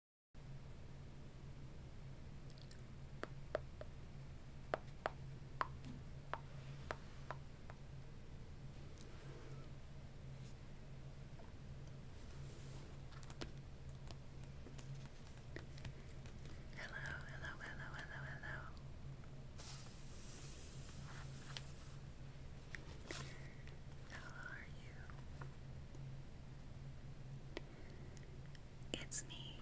Hello, hello, hello, hello, hello. How are you? It's me.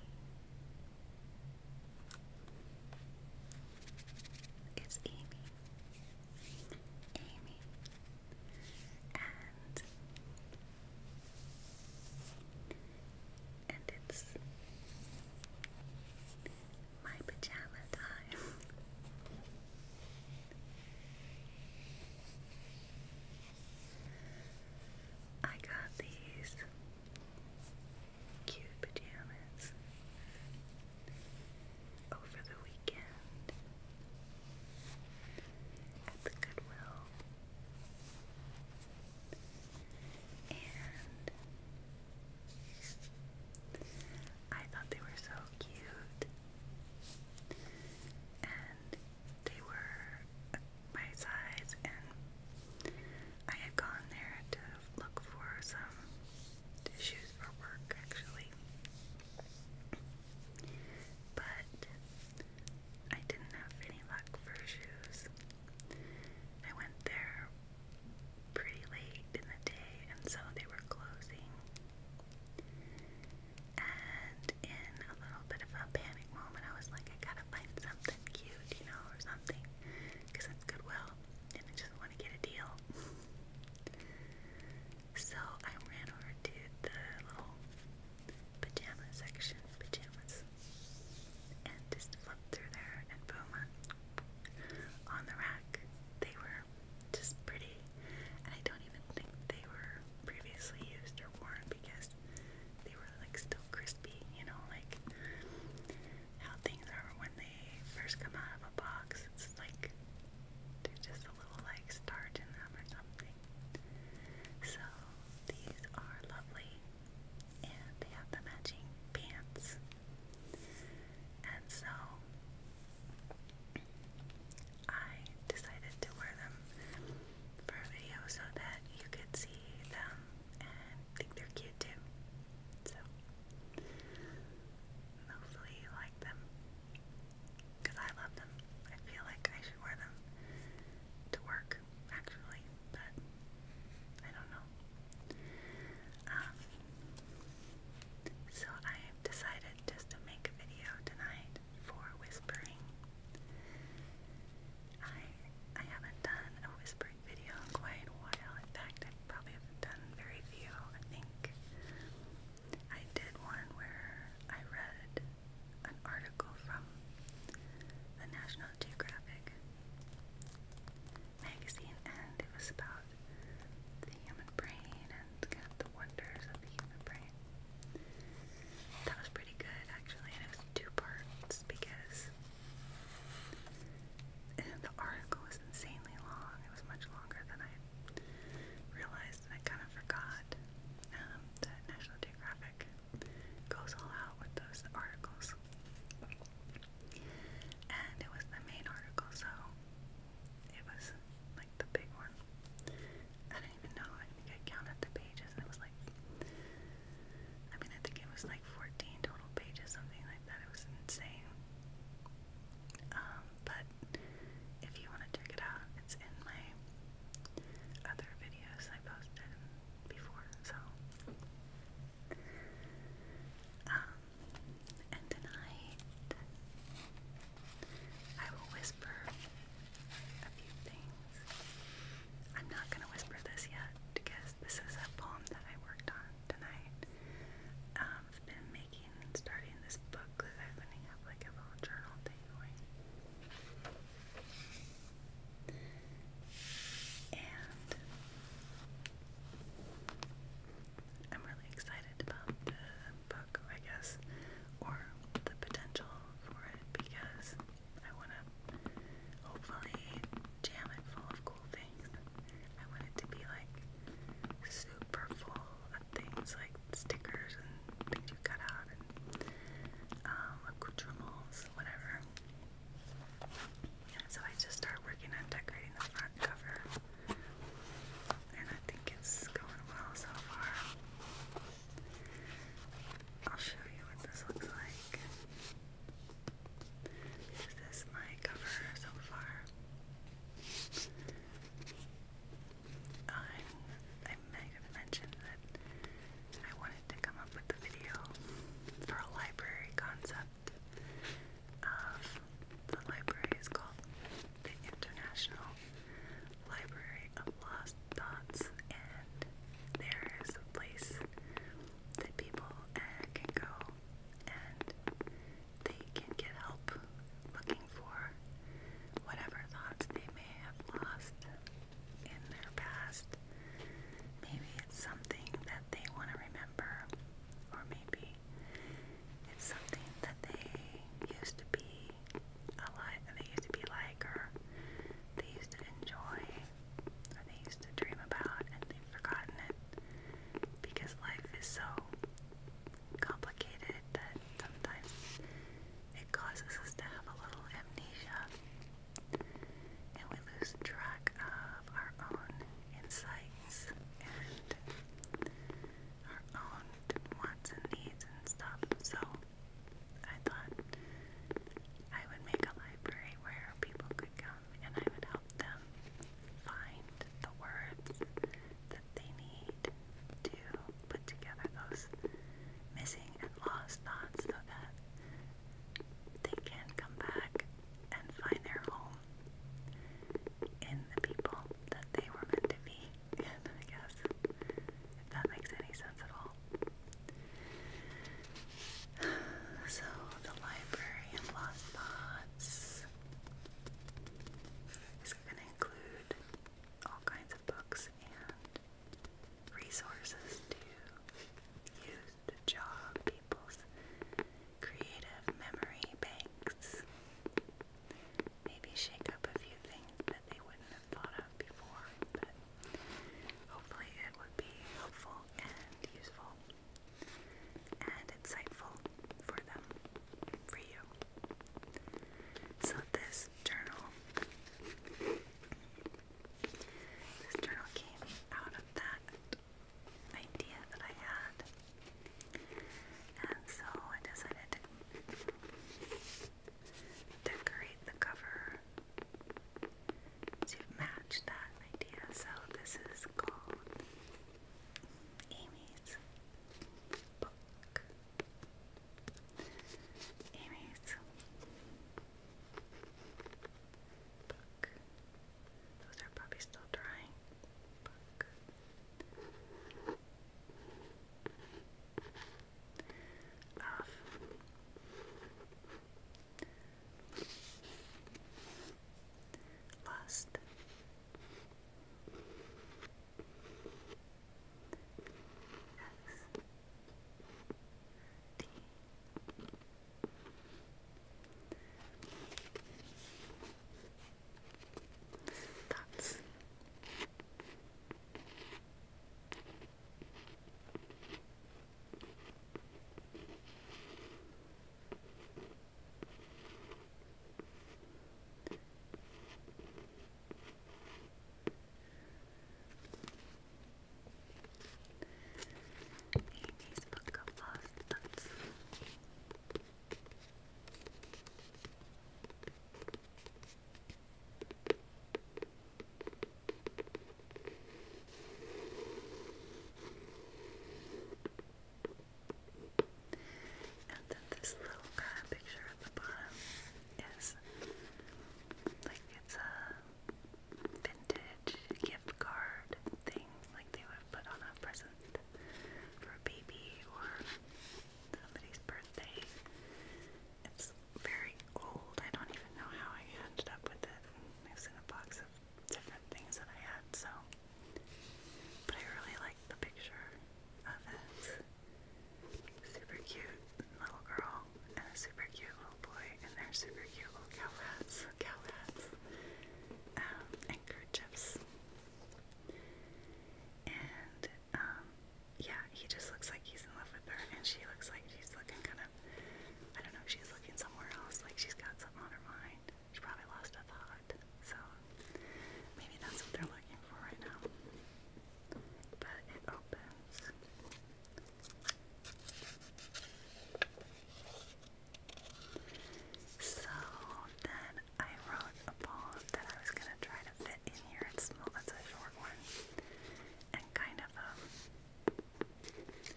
It's Amy. Amy. And and it's my pajama time. I got these cute pajamas over the weekend at the Goodwill. And I thought they were so cute. And they were my size, and I had gone there to look for some tissues for work actually. But I didn't have any luck for shoes. I went there pretty late in the day, and so they were closing. And in a little bit of a panic moment, I was like, I gotta find something cute, you know, or something. Because it's Goodwill, and I just want to get a deal. so I ran over to the little pajama section, pajamas, and just flipped through there, and boom, on the rack, they were just pretty and I don't even think they were previously used or worn because they were like still crispy, you know, like how things are when they first come out of a box. It's like there's just a little like starch in them or something. So these are lovely, and they have the matching pants. And so I decided to wear them for a video so that you could see them and think they're cute too. So, hopefully, you like them. Because I love them. I feel like I should wear them to work, actually, but I don't know. Um, so, I i decided just to make a video tonight for whispering. I I haven't done a whispering video quite a while. In fact, I probably haven't done very few. I think I did one where I read an article from the National Geographic magazine, and it was about the human brain and kind the wonders of the human brain. That was pretty good actually, and it was two parts because the article was insanely long. It was much longer than I realized, I kind of forgot um, that National Geographic goes all out with those articles. And it was the main article, so it was like the big one. I don't even know. I think I counted the pages and it was like, I mean, I think it was like 14 total pages, something like that. It was insane. Um, but if you want to check it out, it's in my other videos I posted before, so. Um, and tonight I will whisper whisper a few things. I'm not going to whisper this yet because this is a poem that I worked on tonight. Um, I've been making starting this book because I've been have like a little journal thing And I'm really excited about the book, I guess, or the potential for it because I want to hopefully jam it full of cool things. I want it to be like super full of things like stickers and things you cut out and um, accoutrements, whatever. Yeah, so I just start working on decorating the front cover and I think it's going well so far. I'll show you what this looks like. This is my cover so far. i I might have mentioned that I wanted to come up with a video for a library concept of the library is called the International Library of Lost Thoughts, and there is a place that people uh, can go and they can get help looking for whatever thoughts they may have lost in their past. Maybe it's something that they want to remember, or maybe it's something that they used to be they used to be like, or they used to enjoy, or they used to dream about, and they've forgotten it because life is so complicated that sometimes it causes us to have a little amnesia and we lose track of our own insights her own wants and needs and stuff. So I thought I would make a library where people could come and I would help them find the words that they need to put together those missing and lost thoughts so that they can come back and find their home in the people that they were meant to be in, I guess, if that makes any sense at all. So, the library and lost spots is going to include all kinds of books and resources to use to jog people's creative memory banks maybe shake up a few things that they wouldn't have thought of before, but hopefully it would be helpful and useful and insightful for them, for you. So this journal, this journal came out of that idea that I had and so I decided to decorate the cover to match that idea. So this is called Amy's Book. Amy's Book. Those are probably still drying. Book. Love. Lust. Thoughts? Amy's book of lost thoughts. And then this little picture at the bottom is like it's a vintage gift card thing, like they would put on a present for a baby or somebody's birthday. It's very old. I don't even know how I ended up with it. It was in a box of different things that I had, so. But I really like the picture of it. Super cute little girl and a super cute little boy, and their super cute little cow hats, cow hats, um, And um, yeah, he just looks like he's in love with her, and she looks like she's looking kind of, I don't know, she's looking somewhere else, like she's got something on her mind. She probably lost a thought, so maybe that's what they're looking for right now. But it opens. So then I wrote a poem that I was gonna try to fit in here. It's small, it's a short one, and kind of um,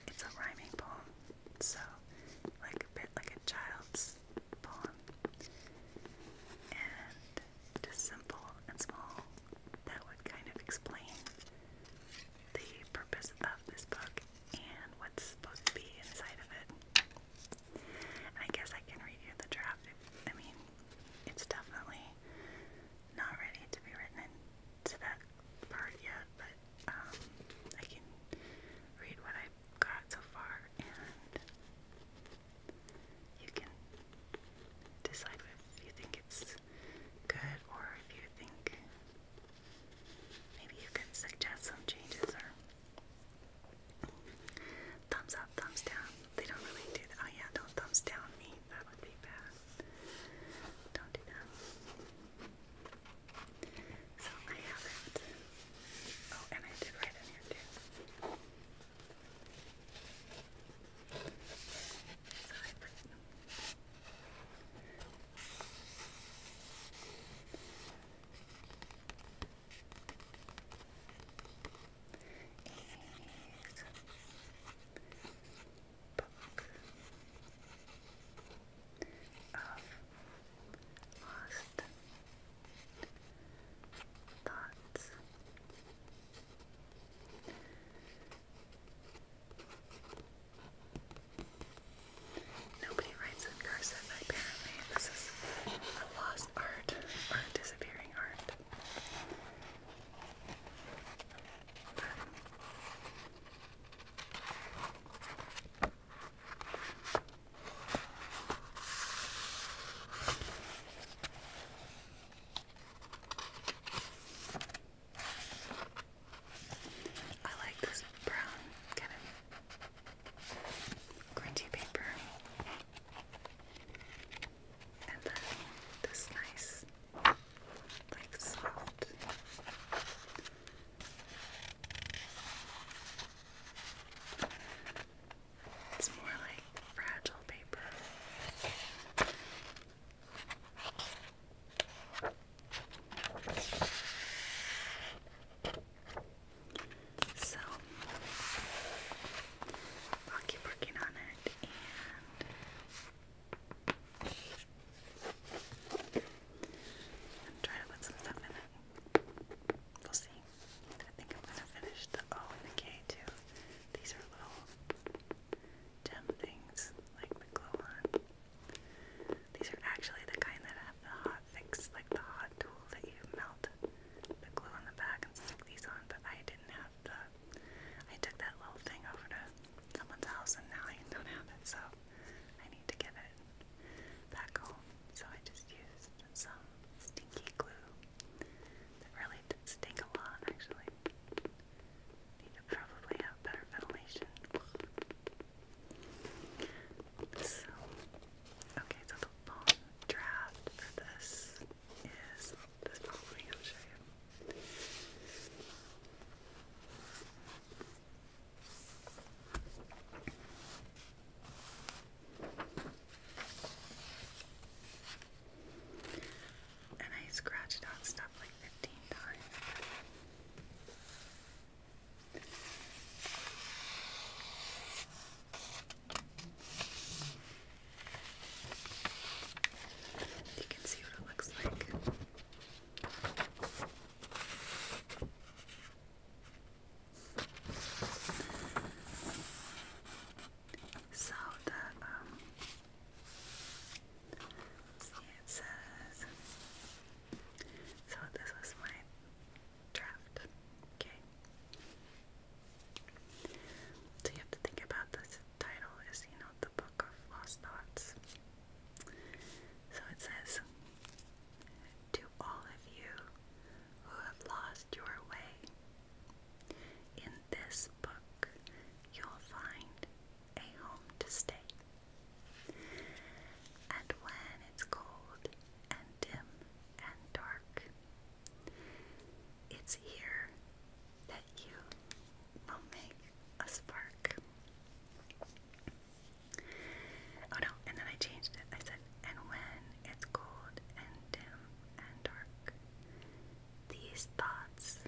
it's a rhyming poem, so like a bit like a child's poem, and just simple and small. That would kind of explain the purpose of this book and what's supposed to be inside of it. I guess I can review the draft. I mean, it's definitely not ready to be written into that part yet, but um, I can read what I've got so far and you can decide if you think it's good or if you think maybe you can suggest some changes or Thumbs up, thumbs down. They don't really do that. Oh, yeah, don't thumbs down me. That would be bad. Don't do that. So I have it. Oh, and I did write in here too is Book of Lost Thoughts. Nobody writes in cursive, apparently. This is a lost art, art disappearing art. I like this brown kind of crunchy paper. And then this nice, like soft it's more like fragile paper. So I'll keep working on it and try to put some stuff in it. We'll see. I think I'm gonna finish the O and the K too. These are little gem things like the glow on. These are actually the kind that have the fix, like the hot tool that you melt the glue on the back and stick these on, but I didn't have the. I took that little thing over to someone's house and now I don't have it, so I need to get it back home. So I just used some stinky glue that really did stink a lot, actually. Need to probably have better ventilation. So Okay, so the long draft for this is this following. I'll show you. And I scratched out stuff like 15 times. You can see what it looks like. So the um see so this was mine draft. Okay. So you have to think about this title is, you know, the book of lost thoughts. So it says to all of you who have lost your way, in this book you'll find a home to stay. And when it's cold and dim and dark. It's here that you will make a spark. Oh no, and then I changed it. I said, and when it's cold and dim and dark, these thoughts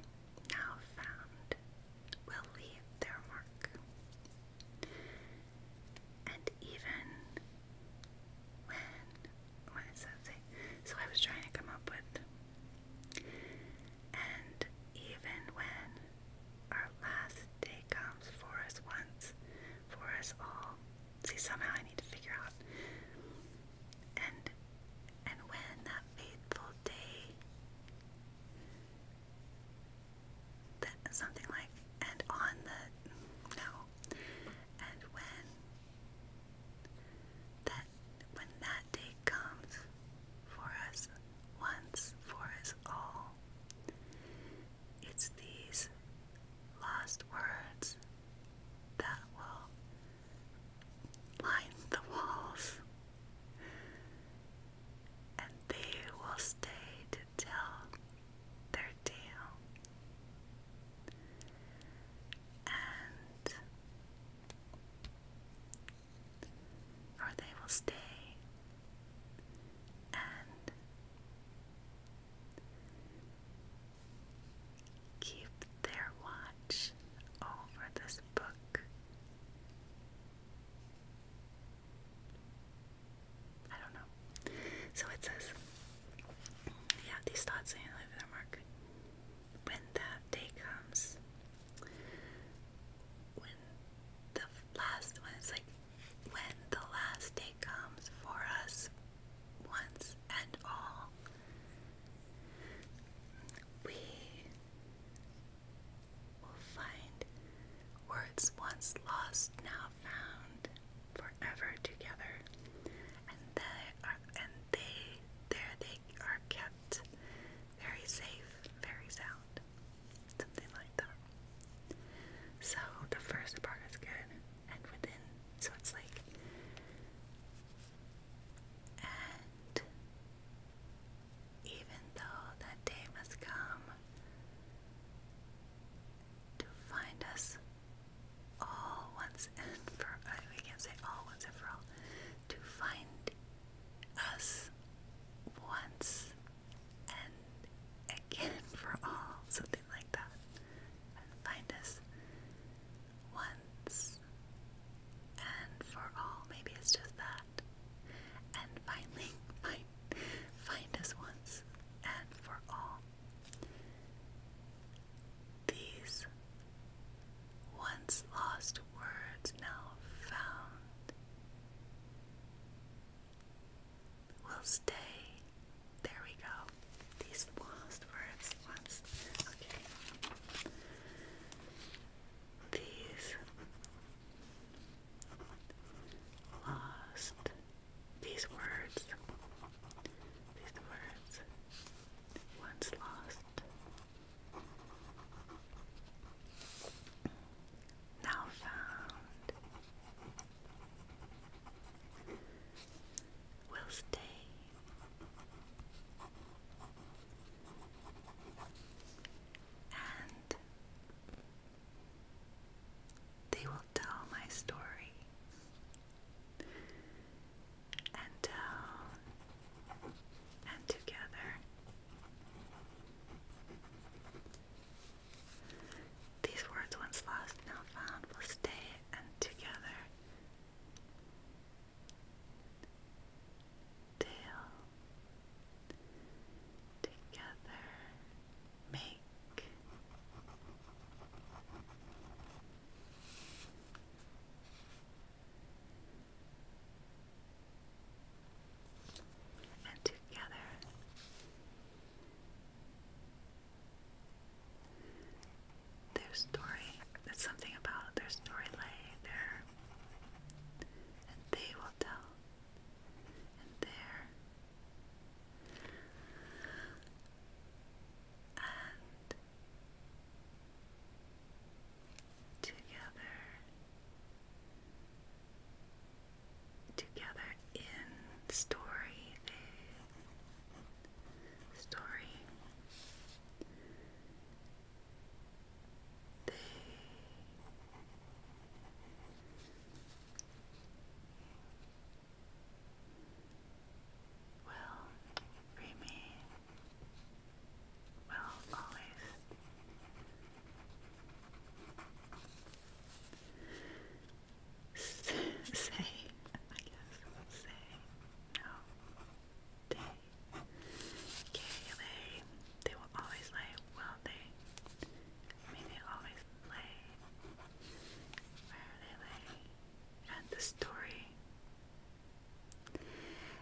now found will leave their mark. And even when, what that So I was trying to come up with, and even when our last day comes for us once, for us all. See, somehow I need to figure out. And and when that fateful day that something like and on the no and when that when that day comes for us once for us all it's these lost words that will line the walls and they will stay to tell their tail. And or they will stay and keep their watch over this book. I don't know. So it says, yeah, these thoughts ain't leaving their mark. When that day comes, when the last, when it's like, when the last day comes for us once and all, we will find words once lost now found forever together, and they are and they there they are kept very safe, very sound, something like that. So the first part is good, and within so it's like and even though that day must come to find us all once and for We can't say all once and for all. To find us once and again for all. Something like that. find us once and for all. Maybe it's just that. And finally, find find us once and for all. These once lost words now found will stay. There we go. These lost words once. Okay. These lost these words, these words, once lost, now found, will stay. And they will tell my story and tell, uh, and together these words once lost, now found, will stay and together. Tale together make pink. And together their story, that's something about their story lay there, and they will tell and there, and together, together in story, they, story, they will free will always say, I guess, say, no, they, they will always lie, will they? I always play. Where they playing? At the story.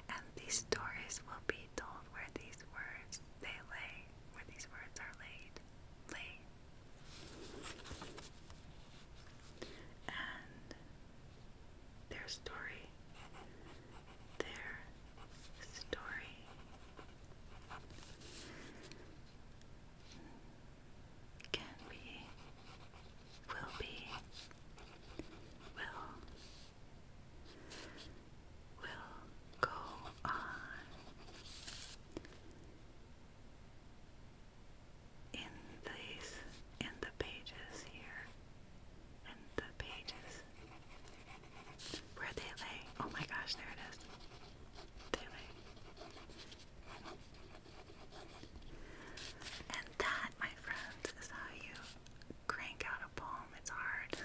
And these stories will be told where these words they lay, where these words are laid, laid. And their story, their story, can be, will be, will, will go on. In these, in the pages here, in the pages where they lay. Oh my gosh, there it is. And that, my friends, is how you crank out a poem. It's hard.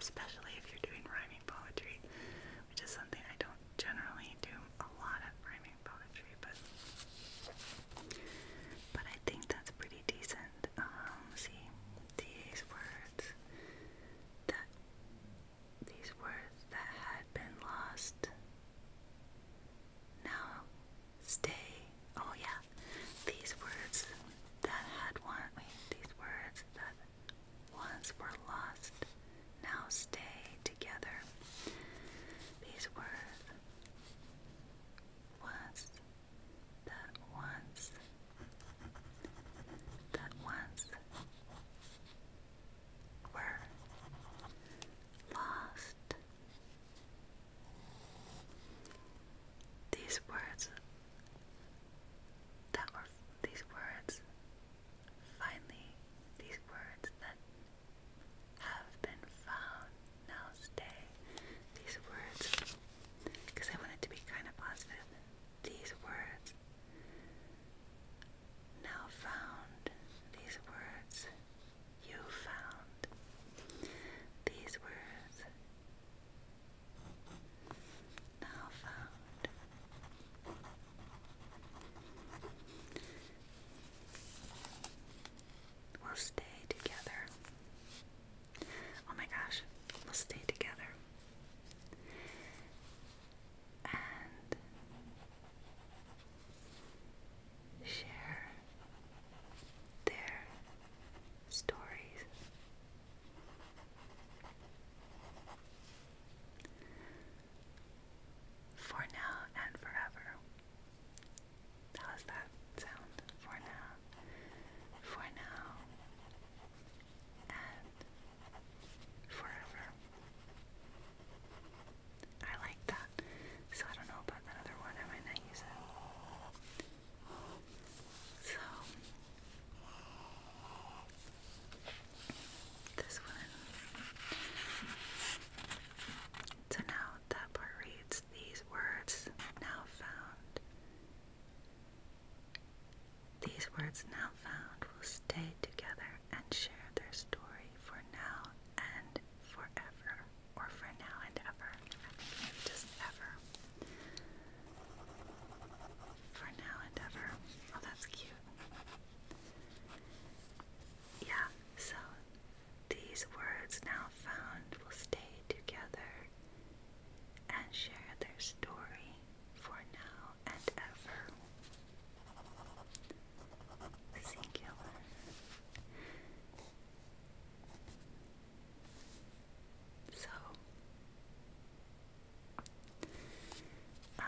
Especially if you're doing rhyming poetry, which is something I don't generally do a lot of rhyming poetry, but but I think that's pretty decent. Um, see, these words that these words that had been lost now stay. Oh yeah, these words that had one. these words that once were lost now stay together. These words once that once that once were lost. These words that were these words finally these words that have been found now stay these words because I want it to be kind of positive these words. Now found these words. You found these words. Now found. We'll stay together. Oh my gosh, we'll stay together. And share their stories. For now and forever. How that sound? For now, for now, and forever. I like that. So I don't know about that one. I might not use it. So this one. So now that part reads these words now found these words now found will stay together and share their story for now and forever, or for now and ever. I just ever. For now and ever. Oh, that's cute. Yeah, so these words now found will stay together and share their story for now and ever. Singular. So, um,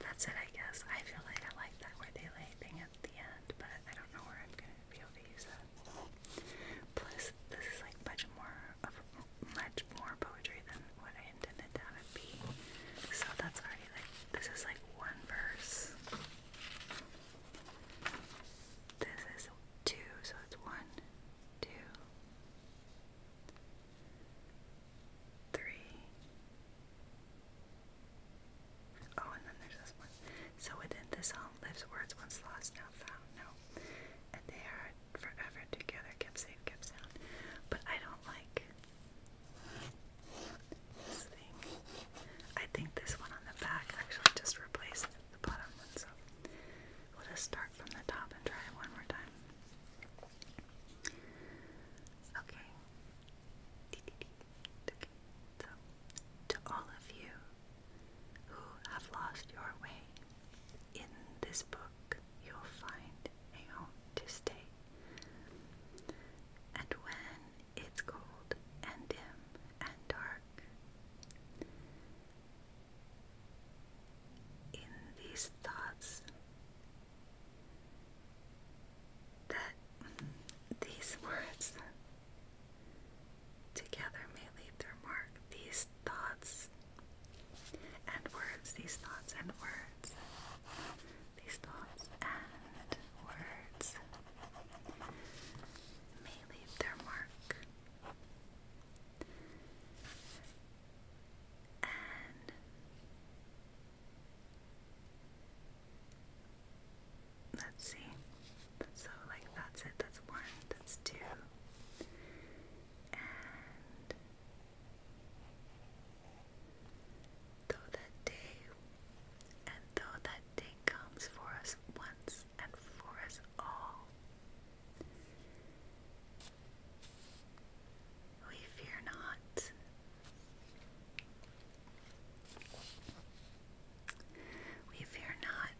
that's it, I guess. I feel like I like that where they lay thing the end, but I don't know where I'm going to be able to use that. Plus, this is like much more of much more poetry than what I intended to be. So that's already like this is like one verse. This is two, so it's one, two, three, Oh, and then there's this one. So within this home lives words once lost, now found, no. And they are forever together, kept safe, kept sound. But I don't like this thing. I think this one on the back actually just replaced the bottom one, so we'll just start from the top and try it one more time. Okay, to all of you who have lost your way, in this book you'll find a home to stay. And when it's cold and dim and dark, in these thoughts, that these words together may leave their mark. These thoughts and words, these thoughts and words, these thoughts and words may leave their mark. And Let's see. So, uh, like, that's it. That's one. That's two. And though that day, and though that day comes for us once and for us all, we fear not. We fear not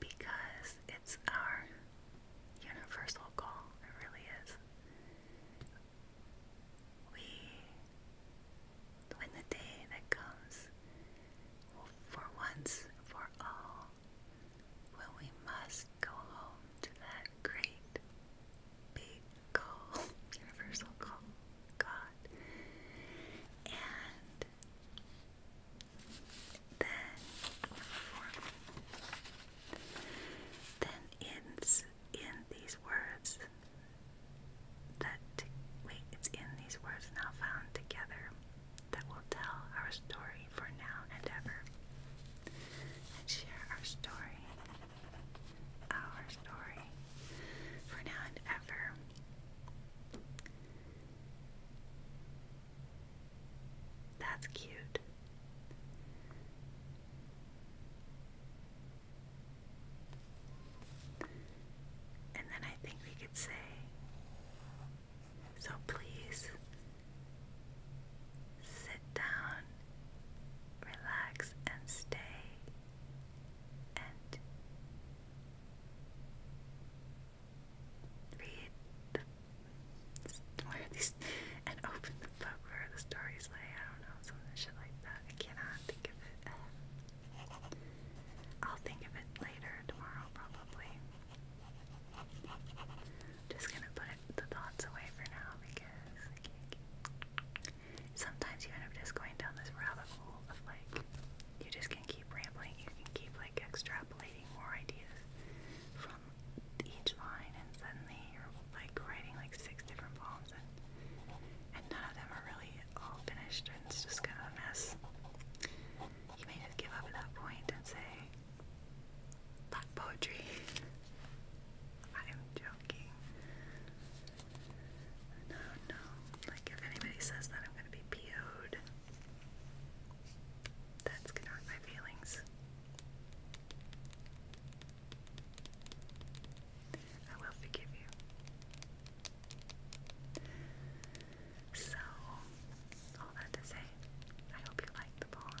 because it's our universal call, it really is. We, when the day that comes, for once, for all, when we must go home to the great big call, universal call, God. And then, then in, in these words that, wait, it's in these words now found together that will tell our story for now and ever, and share our story, our story for now and ever. That's cute. And then I think we could say, so please Sit down, relax, and stay. And read where these and open the book where the stories lay. I don't know, some like that. I cannot think of it. I'll think of it later tomorrow, probably. Just gonna put the thoughts away for now because Sometimes you end up just going down this rabbit hole of like, you just can keep rambling, you can keep like extrapolating more ideas from each line and suddenly you're like writing like six different poems and, and none of them are really all finished and it's just kind of a mess. You may just give up at that point and say, Black poetry. I am joking. No, no. Like, if anybody says that, I'm gonna be po That's gonna hurt my feelings. I will forgive you. So, all that to say, I hope you like the poem.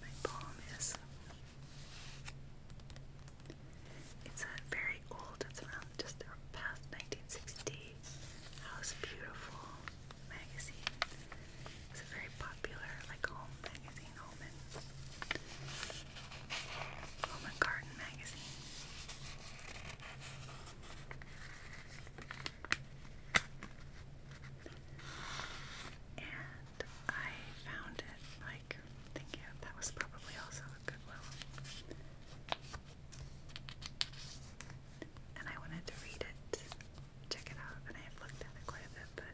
My palm is. It's not very old, it's around just past 1960. House Beautiful magazine. It's a very popular, like, home magazine, home and, home and garden magazine. And I found it like thank you, that was probably also goodwill. And I wanted to read it, check it out, and I have looked at it quite a bit, but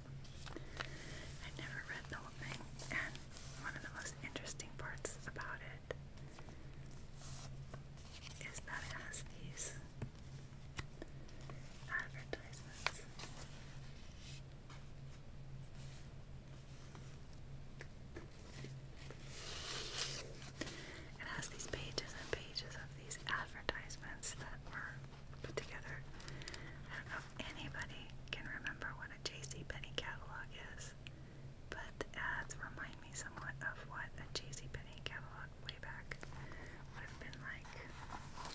i never read the whole thing. And one of the most interesting parts about it is that it has these advertisements. It has these pages and pages of these advertisements that were put together. I don't know if anybody can remember what a JCPenney catalog is, but the ads remind me somewhat of what a JCPenney catalog on way back would have been like. And um,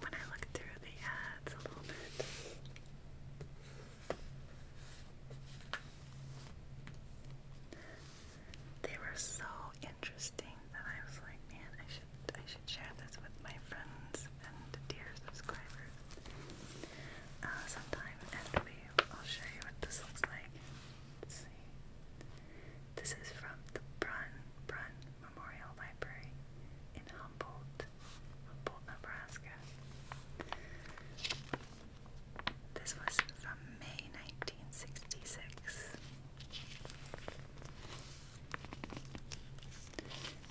when I look through the ads a little bit. They were so interesting that I was like, man, I should I should share this with my friends and dear subscribers. Uh, sometime and we I'll show you what this looks like. see. This is from the Brun Brun Memorial Library in Humboldt, Humboldt, Nebraska. This was from May 1966.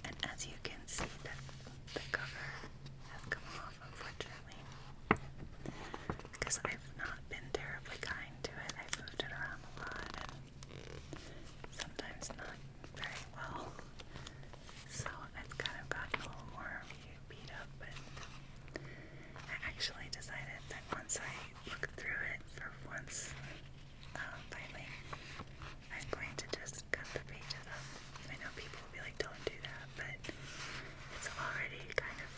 And as you can see, that the cover has come off, unfortunately, because I've not been terribly kind to it. I've moved it around a lot and sometimes not very well. So it's kind of gotten a little more beat up, but I actually decided that once I looked through it for once, um, finally, I'm going to just cut the pages up. I know people will be like, don't do that, but it's already kind of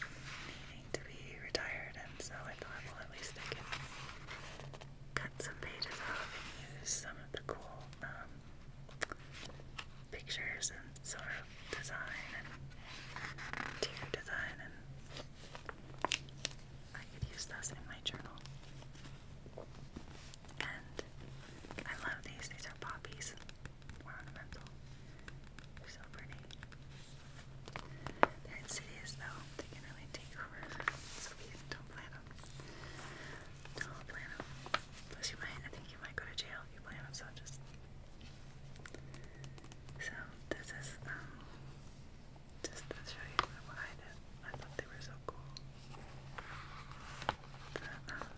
neat to be retired, and so I thought, well, at least I can cut some pages off and use some of the cool um, pictures and sort of design and interior design, and I could use those in my journal. And I love these. These are poppies. They're so pretty. They're insidious though. They can really take over. So we don't play them. Don't play them. Plus you might I think you might go to jail if you play them, so just So this is um just to show you what I I thought they were so cool. Um,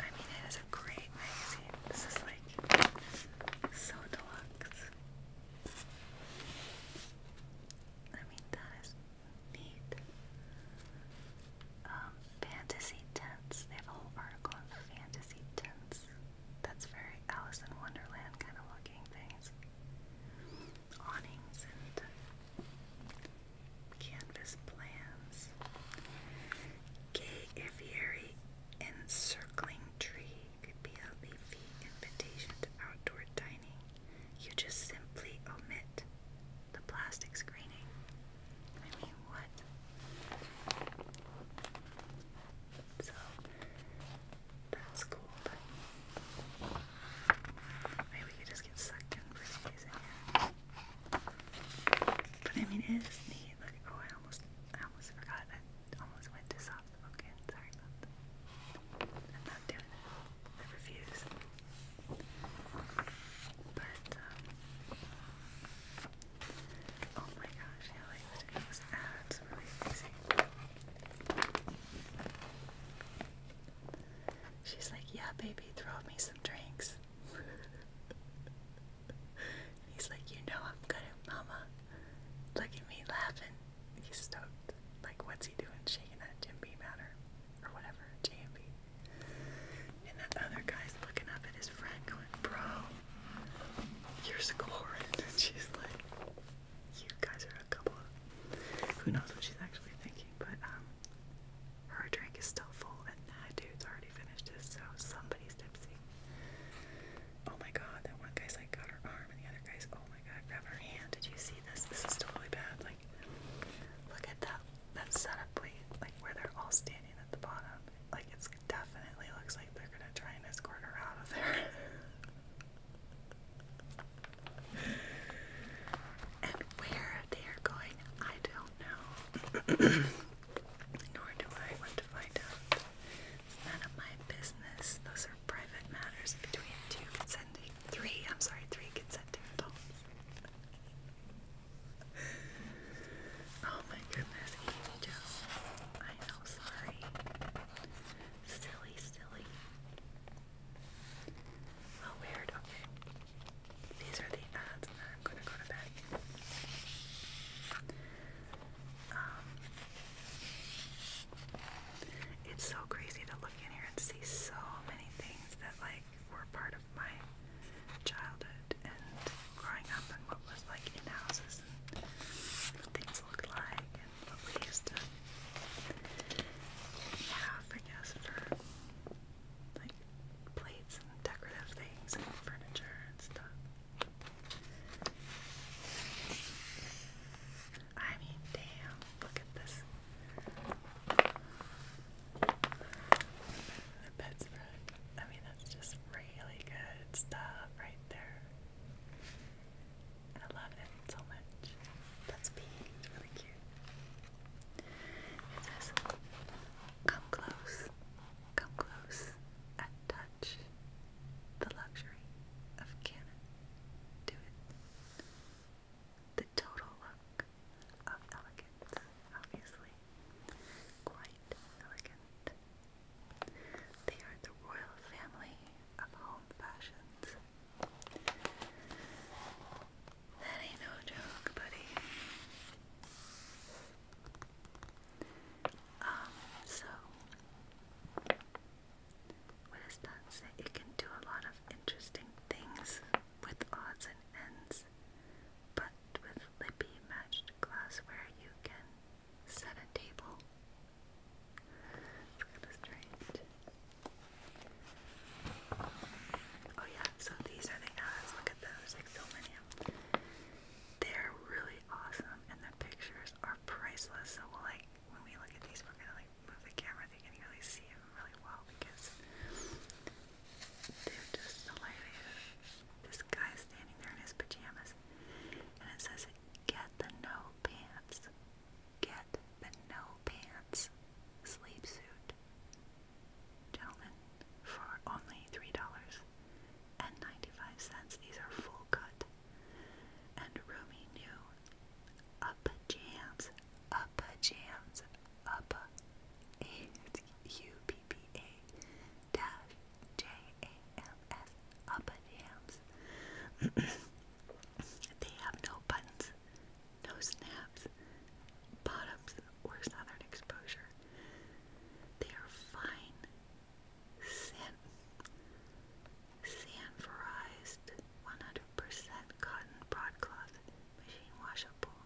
I mean it is a great magazine. This is like so deluxe. I mean, that is neat. fantasy tents. They have a whole article on fantasy tents. That's very Alice in Wonderland kind of looking things. Awnings and canvas plans. Gay aviary encircling tree a BLEV invitation to outdoor dining, you just simply omit the plastic screening. I mean, what? So, that's cool, but maybe we could just get sucked in for some reason But I mean, it is neat. Like, oh, I almost I almost forgot. I almost went soft spoken. Sorry about that. I'm not doing it. I refuse. But, um, oh my gosh, yeah, like the those ads really amazing. She's like, yeah, baby, throw me some drinks. He's like, you know I'm good at mama. Look at me laughing he's stoked. Like, what's he doing shaking that Jim Beam at Or whatever, Jim JMB. And that other guy's looking up at his friend going, Bro, you're scoring. And she's like, You guys are a couple of. Who knows what she's actually thinking, but, um, her drink is still full and that dude's already finished his, so somebody's tipsy. Oh my god, that one guy's like got her arm, and the other guy's, oh my god, grab her hand. Did you see this? This is totally bad. Like, look at that that setup, please. Like where they're all standing at the bottom. Like it's definitely looks like they're gonna try and escort her out of there. and where they are going, I don't know. Nor do I want to find out. It's none of my business. Those are private matters between two consenting, three, I'm sorry, three consenting adults. oh my goodness, Amy Jo. I know, sorry. Silly, silly. Oh, weird, okay. These are the ads, I'm gonna go to bed. Um, it's so crazy to look in here and see so many things that like were part of my childhood and growing up and what was like in houses and what things looked like and what we used to have, I guess, for like plates and decorative things and furniture and stuff. I mean, damn, look at this. The bedspread. I mean, that's just really good stuff right there. I love it so much. That's pink. It's really cute. It says, "Come close, come close, and touch, the luxury of canon to it. The total look of elegance, obviously. Quite elegant. They are the royal family of home fashions. That ain't no joke, buddy. Um, so what does that say? It can do a lot of interesting things with odds and ends, but with Lippy matched glassware, you can set a table. Oh yeah, so these are the ads. Look at those, like so many They're really awesome, and the pictures are priceless. So like when we look at these, we're gonna like move the camera. So you can really see them really well because they're just hilarious. This guy standing there in his pajamas, and it says, "Get the no pants. Get the no pants sleep suit, gentlemen, for only three dollars." and 95 cents. These are full cut. And roomy new. up jams, up jams, up a u p p a dash j a m s up jams. they have no buttons, no snaps, bottoms, or southern exposure. They are fine San Sanforized 100% cotton broadcloth, machine washable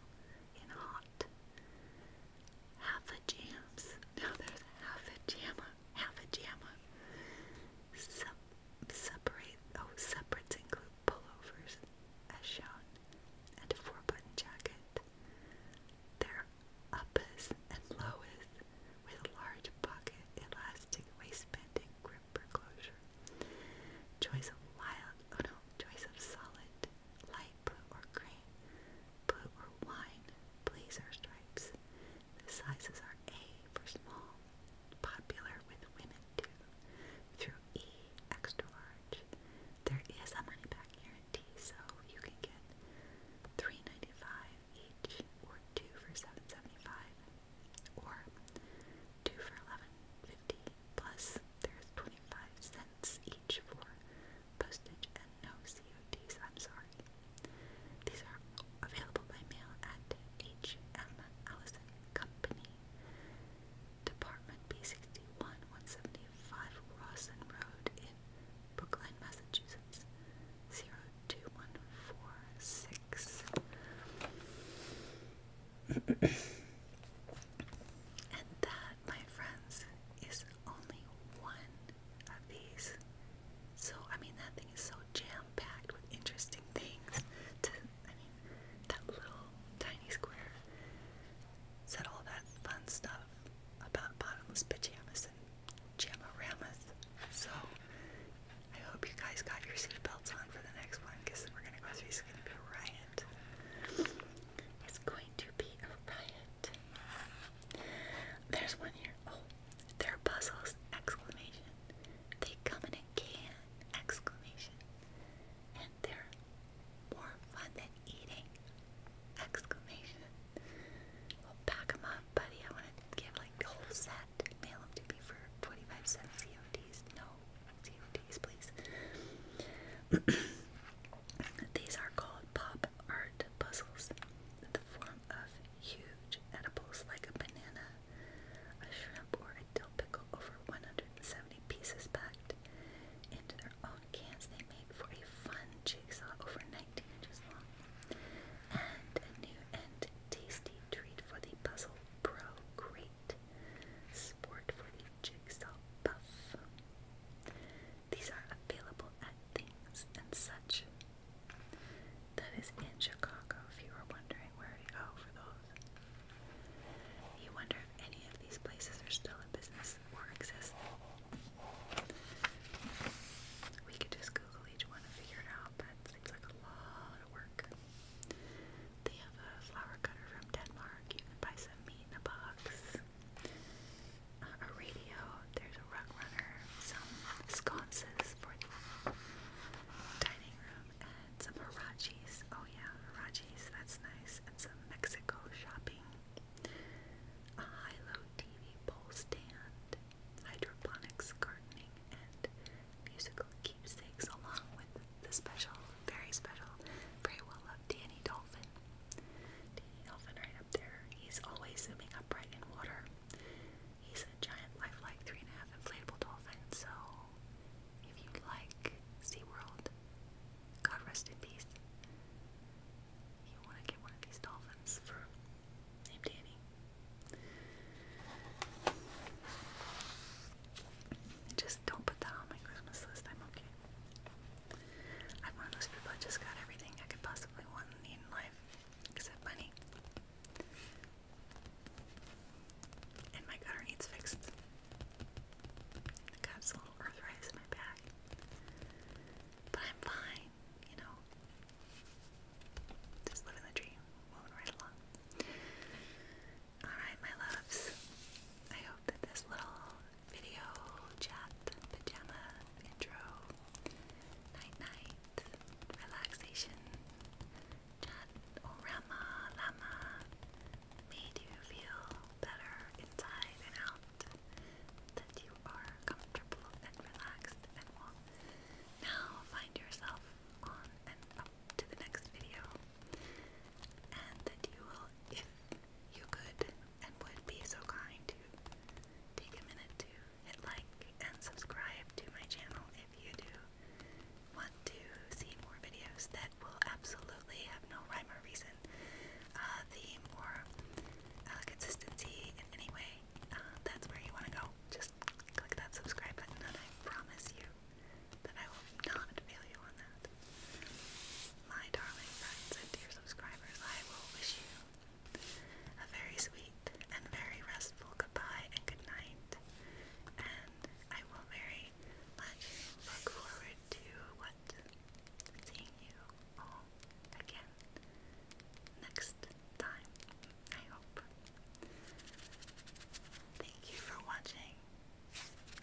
in hot. Half a jams. there's half a jamma. Half a jamma. separate. Oh, separates include pullovers, as shown, and a four-button jacket. There uppers and lowers with a large pocket elastic waistband and grip closure. Choice of wild, oh no, choice of solid, light blue or gray, blue or wine, blazer stripes. The sizes are A for small, popular with women too, through E, extra large. There is a money back guarantee, so you can get three ninety five each, or two for seven seventy-five, or two for eleven fifty. Plus, there's twenty-five cents each for postage and no CODs. I'm sorry. These are available by mail at H.M. Allison Company, Department B sixty-one, one seventy-five Rawson Road in Brookline, Massachusetts zero two one four six. and that, my friends, is only one of these. So I mean that thing is so jam-packed with interesting things. To I mean that little tiny square said all that fun stuff about bottomless pajamas Jamoramas. So I hope you guys got your seatbelts on for the next one because we're gonna go through. It's gonna be a riot. It's going to be a riot. There's one here. Oh, they're puzzles! Exclamation. They come in a can! Exclamation. And they're more fun than eating! Exclamation. Well, pack them up, buddy. I want to give like the whole set. Mail them to me for 25 cent CODs. No CODs, please. These are called pop art puzzles. The form of huge edibles like a banana, a shrimp, or a dill pickle over 170 pieces packed into their own cans they made for a fun jigsaw over 19 inches long. And a new and tasty treat for the Puzzle Pro Crate. Sport for the Jigsaw Puff. These are available at Things and Such. That is in Chicago, if you were wondering where to go for those. You wonder if any of these places are still in business or exist. We could just Google each one and figure it out, but it seems like a lot of work. They have a flower cutter from Denmark. You can buy some meat in a box. Uh, a radio. There's a rug runner. Some sconces for the dining room. And some hirachis. Oh yeah, hirachis. That's nice. And some Mexico shopping a high-low TV pole stand, hydroponics, gardening, and musical keepsakes, along with the special, very special, very well-loved Danny Dolphin. Danny Dolphin right up there. He's always swimming upright in water. He's a giant lifelike three and a half inflatable dolphin, so if you like SeaWorld, God rest in peace. You want to get one of these dolphins for named Danny. Just don't put that on my Christmas list. I'm okay. I'm one of those people that just got everything I could possibly want in life, except money. And my gutter needs fixed. I got some little earthrise in my back. But I'm fine like, you know, just living the dream, moving right along. Alright, my loves, I hope that this little video chat, pajama, intro, night night, relaxation, chat, orama, oh, lama, made you feel better inside and out. That you you are comfortable and relaxed, and will now find yourself on and up to the next video. And that you will, if you could and would be so kind to take a minute to hit like and subscribe to my channel if you do want to see more videos that will absolutely have no rhyme or reason. Uh, the more uh, consistency in any way, uh, that's where you want to go. Just click that subscribe button, and I promise you that I will not fail you on that. My darling friends and dear subscribers, I will wish you a very sweet and very restful goodbye and good night, and I will very much look forward to what seeing you all again next time, I hope. Thank you for watching.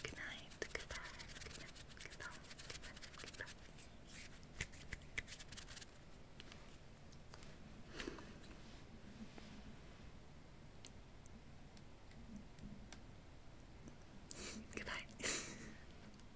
Good goodbye, good goodbye. goodbye.